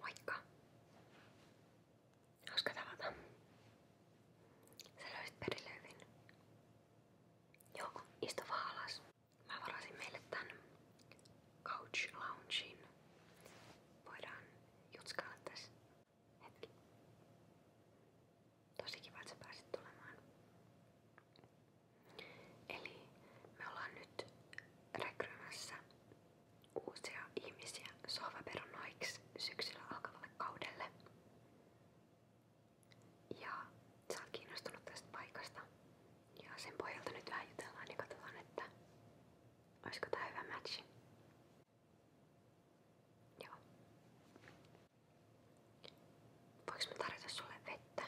Moikka! Hauska tavata. Sä löysit perille hyvin. Joo, istu vaan alas. Mä varasin meille tän couch loungein. Voidaan jutskailla tässä hetki. Tosi kiva, että sä pääsit tulemaan. Eli me ollaan nyt rekrymässä uusia ihmisiä sohvaperunoiksi syksyllä alkavalle kaudelle. Ja sä oot kiinnostunut tästä paikasta. Ja sen pohjalta nyt vähän jutellaan ja niin katsotaan, että olisiko tää hyvä matchi. Joo. Voinko mä tarjota sulle vettä?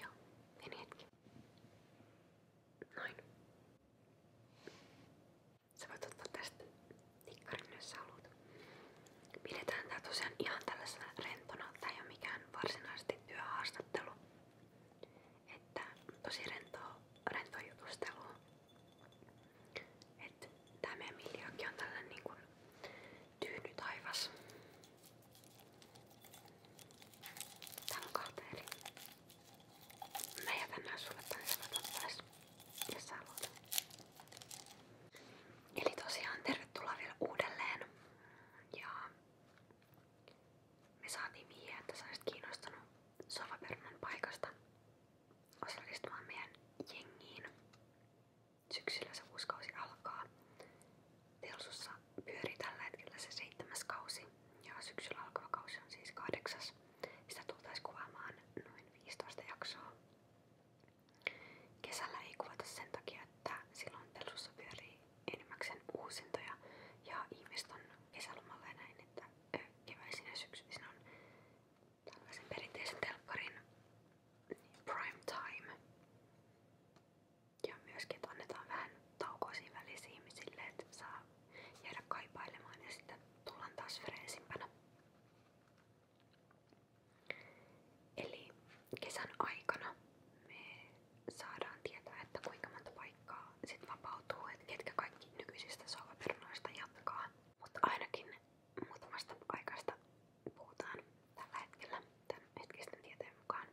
Joo, meni hetki. Noin. Sä voit ottaa tästä nikkarin, jos sä haluat. Pidetään tää tosiaan ihan tällaisena rentona. Tää ei oo mikään varsinaisesti työhaastattelu. Että tosi rentoa, rentoa jutustelua. Että tää meidän miljoonkin on tällainen niin kuin Tyyny taivas. Täällä on kahta eri. Mä jätän nää sulle päästä. Ja sä aloitat. Eli tosiaan tervetuloa vielä uudelleen. Ja me saatiin vihjeä, että sä olisit kiinnostunut sovapernan paikasta osallistumaan meidän jengiin. Syksyllä se uusi kausi alkaa. Telsussa pyörii tällä hetkellä se seitsemäs kausi ja syksyllä alkava kausi on siis kahdeksas. Sitä tultaisiin kuvaamaan noin 15 jaksoa. Kesällä ei kuvata sen takia, että silloin Telsussa pyörii enimmäkseen uusintoja ja ihmiset on kesälomalla ja näin, että keväisin ja syksyisin on tällaisen perinteisen telkkarin prime time. Ja myöskin, että annetaan vähän taukoa siinä välissä ihmisille, että saa jäädä kaipailemaan ja sitten tullaan taas freesimpänä. Eli kesän aikana me saadaan tietää, että kuinka monta paikkaa sit vapautuu, että ketkä kaikki nykyisistä sohvaperunoista jatkaa. Mutta ainakin muutamasta paikasta puhutaan tällä hetkellä tämän hetkisten tieteen mukaan.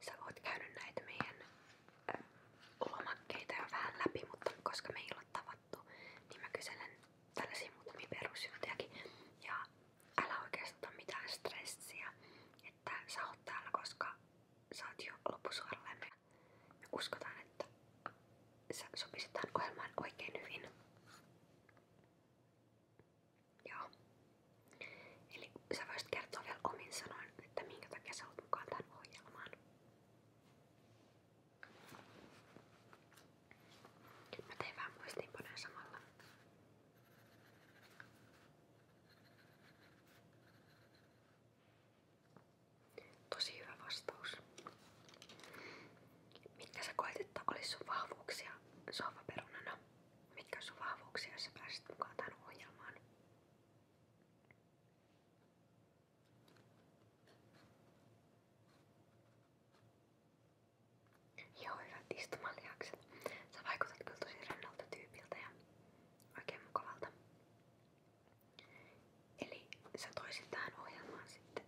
Sä oot käynyt näitä meidän ö, lomakkeita jo vähän läpi, mutta koska me ei ole tavattu, niin mä kyselen tällaisia muutamia perusjuttujakin. Ja älä oikeastaan mitään stressiä, että sä oot täällä, koska sä oot jo loppusuoralle. Me uskotaan, että sä sopisit tähän oikein hyvin. Joo. Eli sä voisit kertoa vielä omin sanoin, että minkä takia sä olet mukaan tähän ohjelmaan. Mä tein vähän muistiinpanoja samalla. Tosi hyvä vastaus. Mitkä sä koet, että olis sun vahvuuksia sohvaperunana? Mitkä on sun vahvuuksia, jos sä pääsit mukaan tähän ohjelmaan? Joo, hyvät istumalihakset. Sä vaikutat kyllä tosi rennolta tyypiltä ja oikein mukavalta. Eli sä toisit tähän ohjelmaan sitten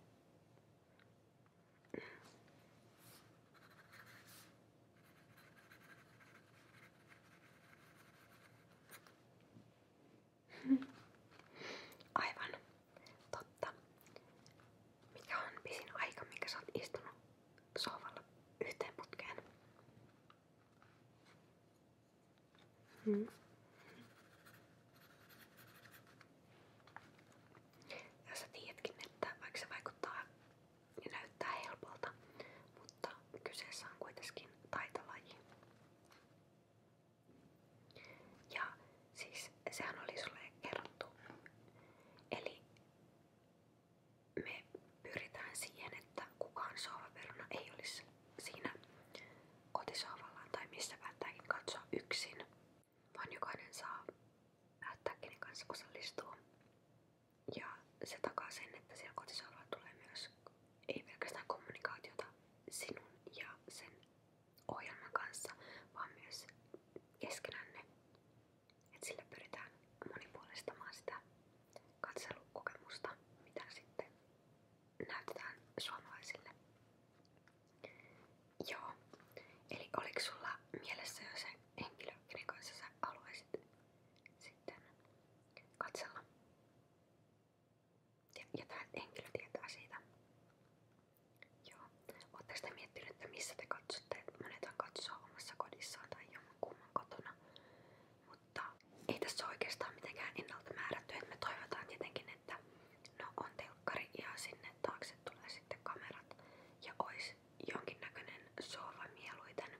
mm. Aivan totta. Mikä on pisin aika, minkä sä oot istunut sohvalla yhteen putkeen? Mm. Ja vaikka vaikuttaa näyttää helpolta, mutta kyseessä on kuitenkin taitolaji. Ja siis sehän oli sulle kerrottu. Eli me pyritään siihen, että kukaan sohvaperuna ei olisi siinä kotisohvallaan tai missä päättääkin katsoa yksin, vaan jokainen saa päättää kenen kanssa osallistuu. Ja se takaa sen, että siellä kotisohvalla tulee myös ei pelkästään kommunikaatiota sinun ja sen ohjelman kanssa, vaan myös keskenänne. Et sillä pyritään monipuolistamaan sitä katselukokemusta, mitä sitten näytetään suomalaisille. Joo. Eli oliko sulla mielessä jo se henkilö, kenen kanssa sä haluaisit sitten katsella? Ja, ja tämä henkilö tietää siitä. Joo. Oletteko te miettinyt, että missä te katsotte? Monethan katsoo omassa kodissaan tai jonkun kumman kotona. Mut mutta ei tässä oikeastaan mitenkään ennalta määrätty. Et me toivotaan tietenkin, että no on telkkari ja sinne taakse tulee sitten kamerat ja ois jonkinnäköinen sohva mieluiten.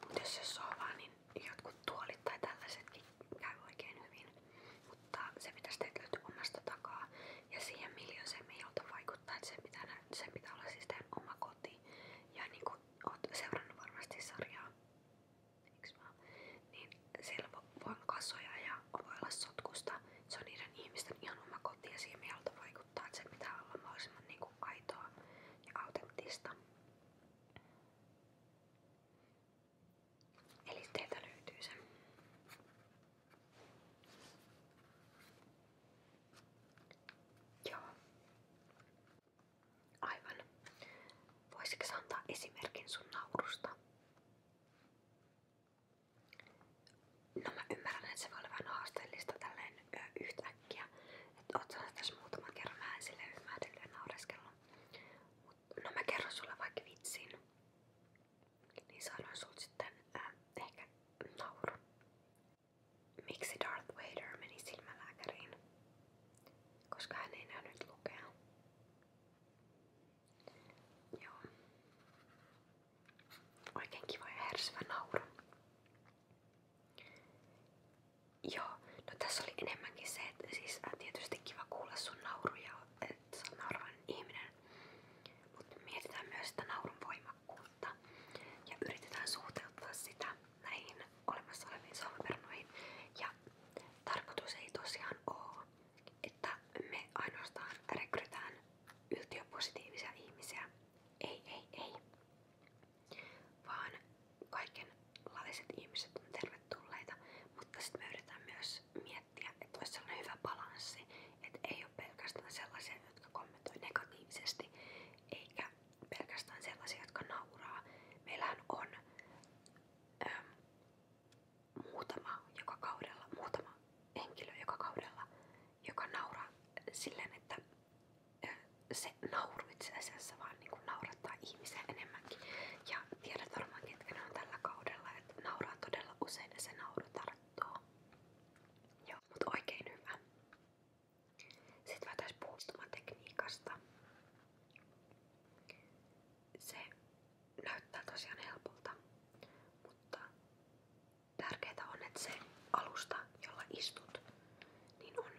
Mutta jos se sohvaa, niin jotkut tuolit tai tällaisetkin käy oikein hyvin. Mutta se pitäisi teitä löytyä omasta takaa ja siihen miljoiseen me ei vaikuttaa, että sen pitää, sen pitää olla siis teidän oma koti. Ja niin kuin oot seurannut varmasti sarjaa, niin siellä voi olla kasoja ja voi olla sotkusta. Se on niiden ihmisten ihan oma koti ja siihen mieltä vaikuttaa, että se pitää olla mahdollisimman niin kuin aitoa ja autenttista. Eli teiltä löytyy se. Joo. Aivan. Voisitko antaa esimerkin sun naurusta? No mä ymmärrän, että se voi olla vähän haasteellista tälleen yhtäkkiä. Että oot sanonut tässä muutaman kerran, mä en silleen ymmärdellyt ja naureskellut. no mä kerron sulle vaikka vitsin. Niin saadaan sulta sitten nauru. Miksi Darth Vader meni silmälääkäriin? koska hän ei nähnyt lukea. Joo. Oikein kiva ja härsivä nauru. Joo, no tässä oli enemmänkin se, että siis äh, tietysti kiva kuulla sun nauruja, että sä oot ihminen. Mutta mietitään myös sitä naurun voimakkuutta ja yritetään suhteuttaa sitä näihin olemassa oleviin solmuperunoihin. Ja tarkoitus ei tosiaan ole, että me ainoastaan rekrytään yltiöpositiivisia ihmisiä. Ei, ei, ei. Vaan kaikenlaiset ihmiset on tervetulleita, mutta sitten me yritetään myös miettiä, että olisi sellainen hyvä balanssi, että ei ole pelkästään sellaisia, jotka kommentoi negatiivisesti, eikä pelkästään sellaisia, jotka nauraa. Meillähän on äm, muutama joka kaudella, muutama henkilö joka kaudella, joka nauraa silleen, että äh, se nauru itse asiassa vaan niin kuin naurattaa ihmisiä enemmänkin. Ja tiedät varmaan ketkä ne on tällä kaudella, että nauraa todella usein ja se nauru tarttuu. Joo, mut oikein hyvä. Sitten voitaisiin puhua istumatekniikasta. Se näyttää tosiaan helpolta, mutta tärkeää on, että se alusta, jolla istut, niin on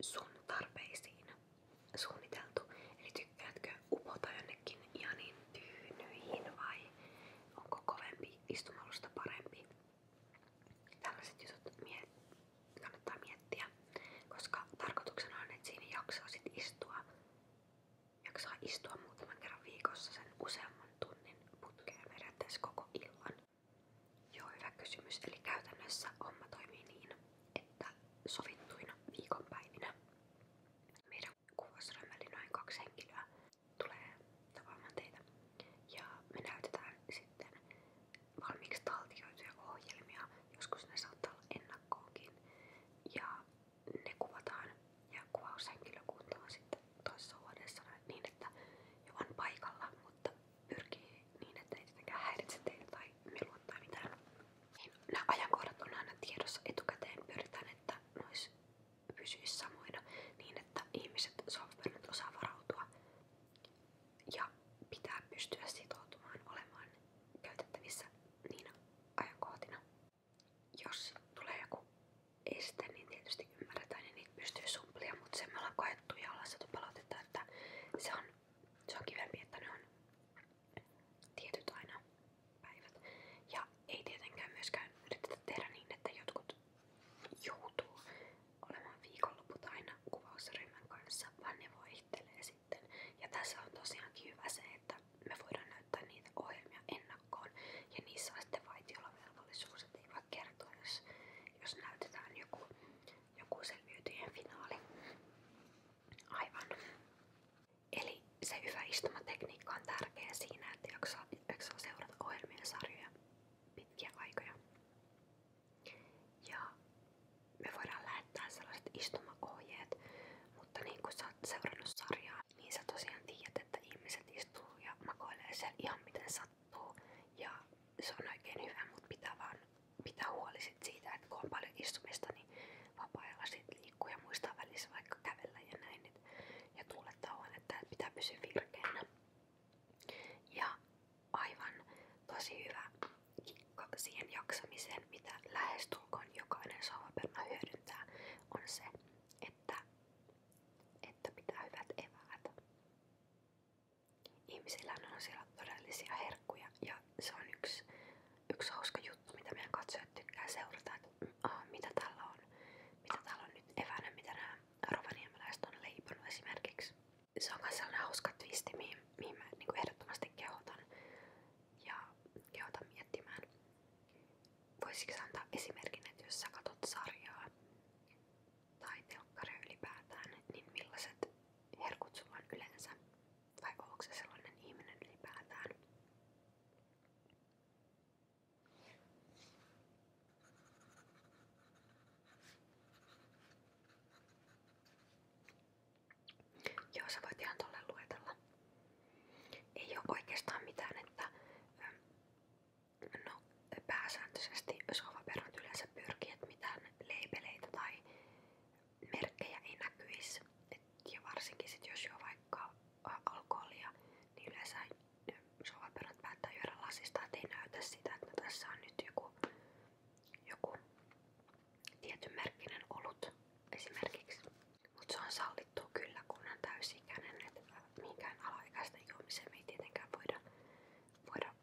sun tarpeisiin suunniteltu. Eli tykkäätkö upota jonnekin ihanin tyynyihin vai onko kovempi istumalusta parempi? Tällaiset jutut miet kannattaa miettiä, koska tarkoituksena on, että siinä jaksaa sit istua, jaksaa istua muutaman kerran viikossa sen useamman tunnin putkeen periaatteessa koko illan. Joo, hyvä kysymys. Eli käytännössä homma toimii niin, että sovittuina viikonpäivinä meidän kuvausryhmälle noin kaksi henkilöä tulee tapaamaan teitä. Ja me näytetään sitten valmiiksi taltioituja ohjelmia, joskus ne saattaa olla ennakkoonkin. Ja ne kuvataan ja kuvaushenkilökunta on sitten toisessa huoneessa niin, että jo on paikalla, mutta pyrkii niin, että ei tietenkään häiritse teitä tai melua tai mitään. Niin nämä ajankohdat on aina tiedossa etukäteen. Pyritään, että nois pysyisi samoina niin, että ihmiset softwaret osaa varautua ja pitää pystyä sitoutumaan olemaan käytettävissä niinä ajankohtina. Jos tulee joku este, niin tietysti ymmärretään ja niitä pystyy sumplia, mutta se me ollaan koettu ja ollaan saatu palautetta, että se on, se on kivempi, että ne on tietyt aina päivät. Ja ei tietenkään myöskään yritetä tehdä niin, että jotkut joutuu olemaan viikonloput aina kuvausryhmän kanssa, vaan ne vaihtelee sitten. Ja tässä on tosiaankin hyvä se, että me voidaan näyttää niitä ohjelmia ennakkoon ja niissä on sitten vaitiolovelvollisuus, että ei voi kertoa, jos, jos näytetään joku, joku selviytyjen finaali. Aivan. Eli se hyvä istumatekniikka on tärkeä siinä, että jaksaa, jaksaa seurata ohjelmien sarjoja pitkiä aikoja. Ja me voidaan lähettää sellaiset istumaohjeet, mutta niin kuin sä oot seurannut sarjaa, niin sä tosiaan tiedät, että ihmiset istuu ja makoilee siellä ihan miten sattuu. Ja se on oikein hyvä, mutta pitää vaan pitää huoli sit siitä, että kun on paljon istumista, niin vapaa-ajalla sit liikkuu ja muistaa välissä vaikka kävellä ja näin. Et, ja tuulettaa huonetta, että pitää pysyä virkeänä. Ja aivan tosi hyvä kikko siihen jaksamiseen, mitä lähestulkoon jokainen sohvaperuna hyödyntää, on se, että, että pitää hyvät eväät. Ihmisillä on siellä todellisia herkkuja ja se on yksi, yksi hauska juttu, mitä meidän katsojat tykkää mitä täällä on, mitä täällä on nyt eväänä, mitä nämä rovaniemeläiset on leiponut esimerkiksi. Se on myös sellainen hauska twisti, mihin, mihin mä niin ehdottomasti kehotan. Ja kehotan miettimään. Voisitko antaa esimerkin, että jos sä katot sarjaa tai telkkaria ylipäätään, niin millaiset herkut sulla on yleensä? Vai onko se sellainen ihminen ylipäätään? Joo, sä voit ihan tolle luetella. Ei oo oikeastaan mitään, että ähm, no, pääsääntöisesti sohvaperunat yleensä pyrkii, että mitään leipeleitä tai merkkejä ei näkyisi. Et, ja varsinkin sit jos jo vaikka alkoholia, niin yleensä sovaperät päättää juoda lasista, ettei näytä sitä, että tässä on nyt joku, joku tietyn merkkinen olut esimerkiksi. Mutta se on sallittu kyllä, kun on täysikäinen, että minkään alaikäisten juomiseen me ei tietenkään voida, voida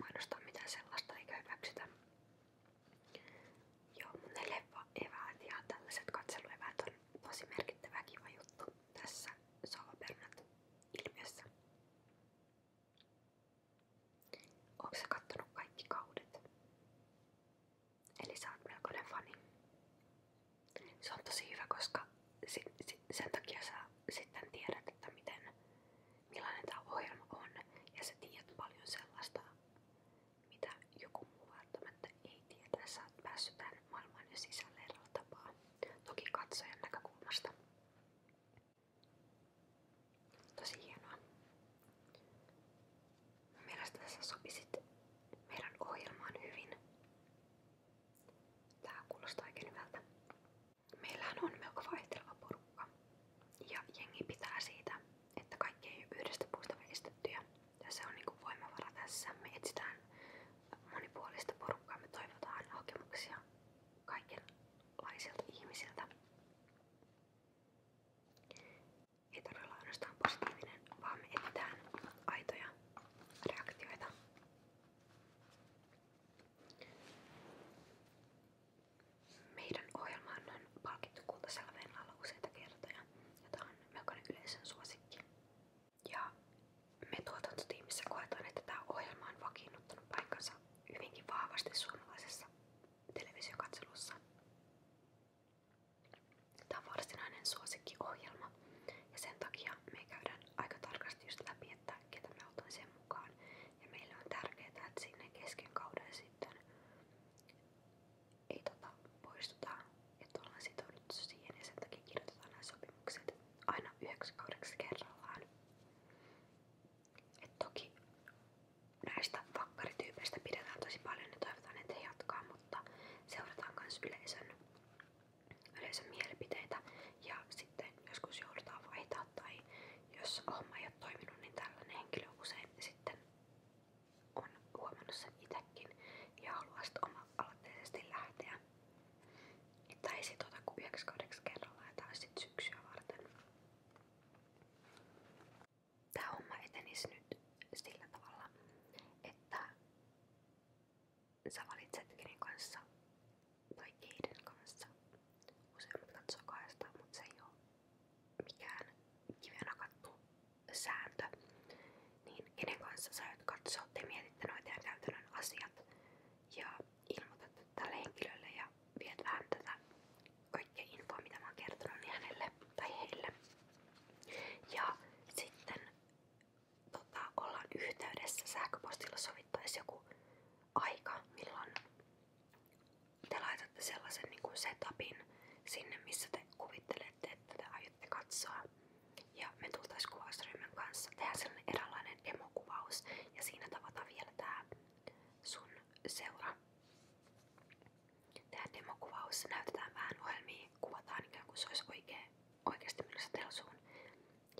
mainostaa mitään sellaista eikä hyväksytä. Joo, mun ne leffa-eväät ja tällaiset katselueväät on tosi merkittävä kiva juttu tässä Salopernat ilmiössä. Onko sä kattonut kaikki kaudet? Eli sä oot melkoinen fani. Se on tosi hyvä, koska si si sen takia sä sitten tiedät, että miten, millainen tämä ohjelma on. Ja sä tiedät paljon sellaista, mitä joku muu välttämättä ei tiedä, sä oot päässyt tänne maailmaan ja sisälle eräällä tapaa. Toki katsojan näkökulmasta. Tosi hienoa. Mielestäni sä sopisit meidän ohjelmaan hyvin. Tää kuulostaa oikein hyvältä. Meillähän on melko vaihteleva porukka. Ja jengi pitää siitä, että kaikki ei ole yhdestä puusta veistettyjä. Tässä on niinku voimavara tässä. Me etsitään monipuolista porukkaa. Me toivotaan hakemuksia kaikenlaisilta ihmisiltä. Ei todella ainoastaan positiivinen, vaan me etsitään aitoja reaktioita. Meidän ohjelmaan on palkittu kultaselveen alla useita kertoja, jota on melkoinen yleisön suosikki. Ja me tuotantotiimissä koetaan, että tämä ohjelma on vakiinnuttanut paikkansa hyvinkin vahvasti suomalaisessa televisiokatselussa. Tämä on varsinainen suosikkiohjelma ja sen takia me käydään aika tarkasti just läpi, että ketä me otan sen mukaan. Ja meille on tärkeää, että sinne kesken kauden sitten ei tota, poistuta ja ollaan sitouduttu siihen ja sen takia kirjoitetaan nämä sopimukset aina yhdeksi kaudeksi kerrallaan. Et toki näistä vakkarityypeistä pidetään tosi paljon ja toivotaan, että he jatkaa, mutta seurataan myös yleisön, yleisön mielipiteitä ja sitten joskus joudutaan vaihtaa tai jos homma ei ole toiminut, niin tällainen henkilö usein sitten on huomannut sen itsekin ja haluaa sitten oma-aloitteisesti lähteä. Että ei sit ota kuin 9 kahdeksi kerrallaan ja tää sit syksyä varten. Tää homma etenisi nyt sillä tavalla, että sä valitset kenen niin kanssa tai keiden kanssa. Useimmat katsoo kahdesta, mutta se ei oo mikään kivenä kattu sääntö, niin kenen kanssa sä aiot katsoa, noita ja käytännön ja ilmoitat tälle henkilölle ja viet vähän tätä mitä mä oon niin hänelle tai heille. Ja sitten tota, ollaan yhteydessä sähköpostilla sovittaisi joku aika, milloin te laitatte sellaisen niin kuin setupin sinne, missä te kuvittelette, tätä aiotte katsoa. Ja me tultais kuvausryhmän kanssa tehdään sellainen eräänlainen demokuvaus ja siinä tavataan vielä tää sun seura. Tehdään demokuvaus, näytetään vähän ohjelmia, kuvataan ikään kuin se olisi oikea, oikeasti menossa telsuun.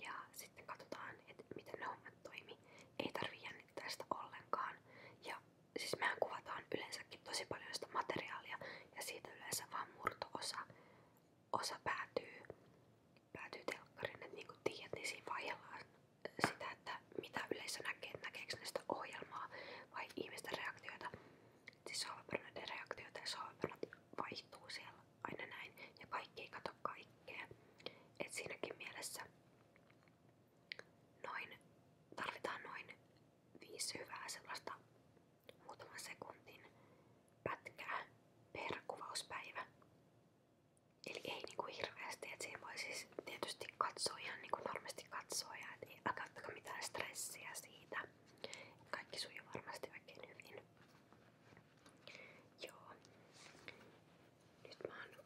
Ja sitten katsotaan, että miten ne hommat toimii. Ei tarvii jännittää sitä ollenkaan. Ja siis mehän kuvataan yleensäkin tosi paljon sitä materiaalia ja siitä yleensä vaan murto-osa osa päätyy, päätyy telkkariin. että niin kuin tiedät, niin siinä vaihellaan sitä, että mitä yleensä näkee, että näkeekö ne sitä ohjelmaa vai ihmisten reaktioita. Siis sohvapernoiden reaktioita ja sohvapernot vaihtuu siellä aina näin ja kaikki ei kato kaikkea. että siinäkin mielessä noin, tarvitaan noin viisi hyvää sellaista muutaman sekunnin pätkää per kuvauspäivä. Eli ei niinku hirveästi, että siinä voi siis tietysti katsoa ihan niinku normaalisti katsoa ja et ei aiheuttaako mitään stressiä siitä. Kaikki sujuu varmasti oikein hyvin. Joo. Nyt mä oon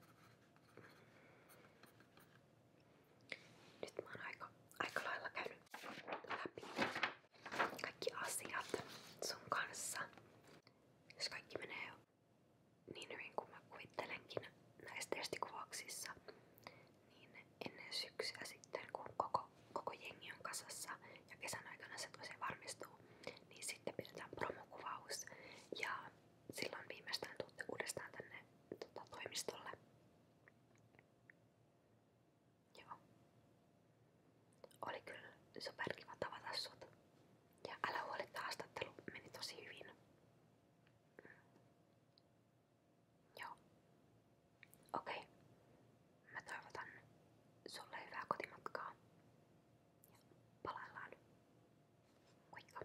nyt mä oon aika, aika lailla käynyt läpi kaikki asiat sun kanssa. Jos kaikki menee niin hyvin kuin mä kuvittelenkin näissä testikuvauksissa, niin ennen syksyä sitten, kun koko, koko jengi on kasassa ja kesän aikana se tosiaan varmistuu, niin sitten pidetään promokuvaus ja silloin viimeistään tuutte uudestaan tänne tota, toimistolle Joo. Oli kyllä superkiva tavata sut. Ja älä huoli, että haastattelu meni tosi hyvin. Mm. Joo. Okei. Okay. Mä toivotan sulle hyvää kotimatkaa. Ja palaillaan. Moikka.